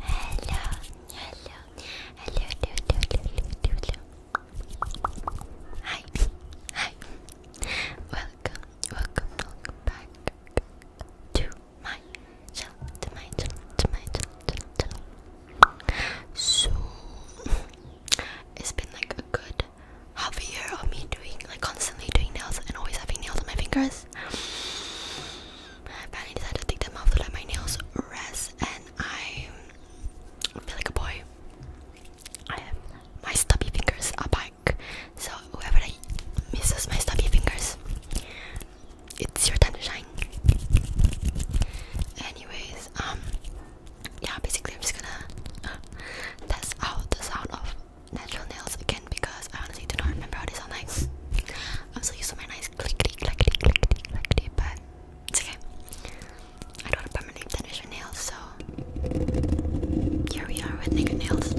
Hello, hello, hello, hello, hello, hello. Hi, hi. Welcome, welcome, welcome back to my channel, to my channel, to my channel, So, it's been like a good half a year of me doing, like constantly doing nails and always having nails on my fingers. I finally decided to take them off to let my nails rest, and I feel like a boy. my stubby fingers are back, so whoever that misses my stubby fingers, it's your time to shine. Anyways, um, yeah, basically I'm just gonna uh, test out the sound of natural nails again because I honestly do not remember how they sound like. I'm so used to my nice clickety, clickety, clickety, clickety, but it's okay. I don't want to permanently finish your nails, so here we are with naked nails.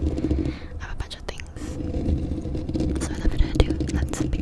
I have a bunch of things. So without further ado, let's begin.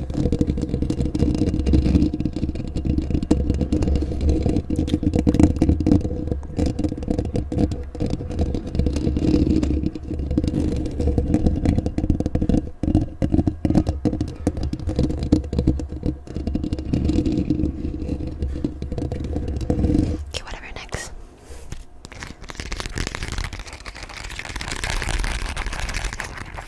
Okay, whatever next.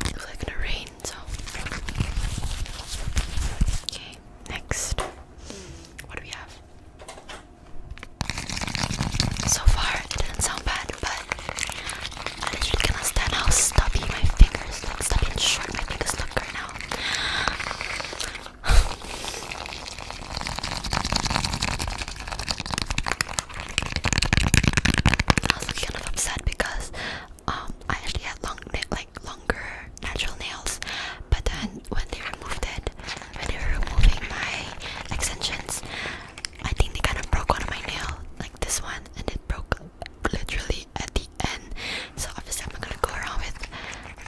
It was like gonna rain, so okay next. What do we have? So far, it doesn't sound bad, but I literally cannot stand how stubby my fingers look, stubby short my fingers look right now. I was kind of upset because um, I actually had long like longer natural nails, but then when they removed it, when they were removing my extensions, I think they kind of broke one of my nail, like this one, and it broke literally at the end. So obviously I'm not gonna go around with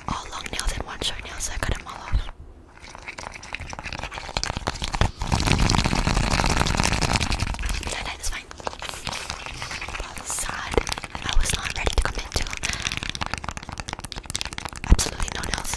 all long nails and one short nail, so I cut them all off. Then I sad, I was not ready to commit into absolutely no else.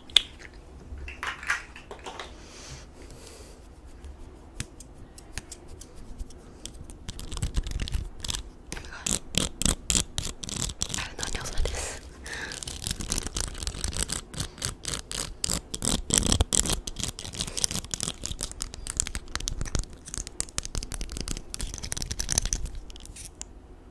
やるの上手です。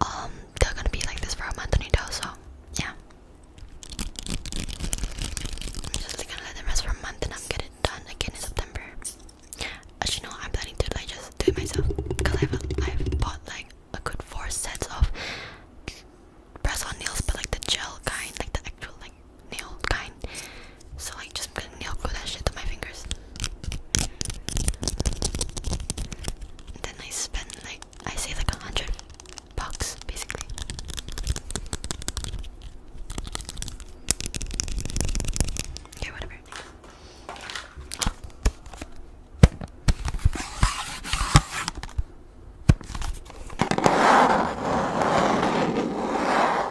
Um, they're gonna be like this for a month and a so yeah. I'm just like, gonna let them rest for a month and I'll get it done again in September. As you know, I'm planning to like just do it myself because I've I've bought like a good four sets of press on nails, but like the gel kind, like the actual like nail kind. So I just gonna nail glue that shit to my fingers. then I spend like I save like a hundred bucks basically. Okay, whatever.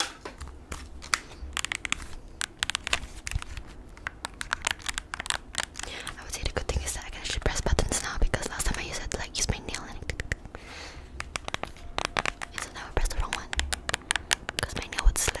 I would say the good thing is that I can actually press buttons now because last time I used like, used my nail and it. And so press the wrong one because my nail would slip.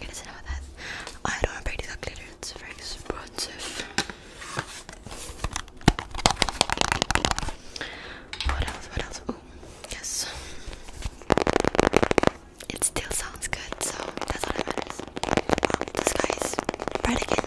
You guys know that I don't want to pay it's very expensive. What else? What else? Oh, yes. It still sounds good, so that's all that matters. Wow, um, this guy is bright again.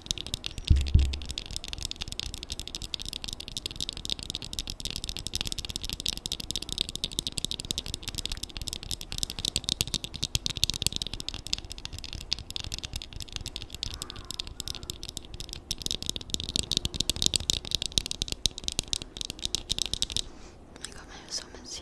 Oh my god, my hair is so messy.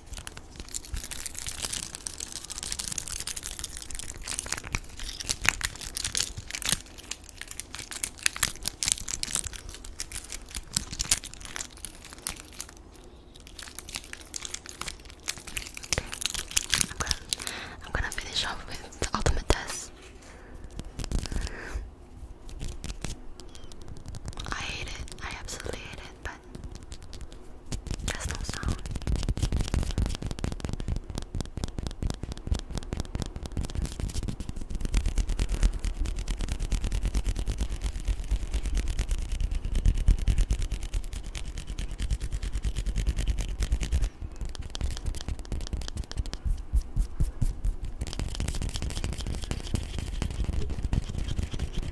Okay. I'm gonna finish off with the ultimate test. I hate it. I absolutely hate it, but that? That's no sound.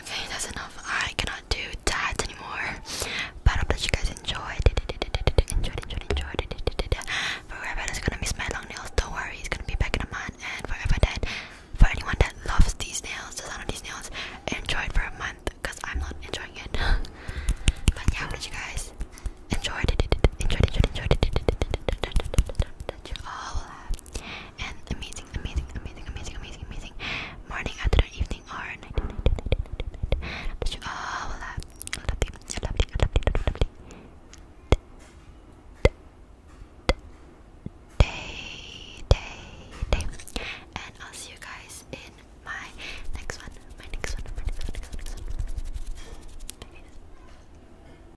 Okay, that's enough. I cannot do tats anymore. But I hope that you guys enjoyed. Enjoyed, enjoyed, enjoyed. Forever is gonna miss my long nails. Don't worry, he's gonna be back in a month. And forever that, for anyone that loves these nails, the sound of these nails, enjoy it for a month because I'm not enjoying it. but yeah, I hope you guys enjoyed. Enjoyed, enjoyed, enjoyed. That you all have and amazing, amazing, amazing, amazing, amazing, amazing morning, afternoon, evening, or night. night, night, night, night, night. Oh, voilà. Day, day, day. And I'll see you guys in my next one. My next one. My next one. Next Next one.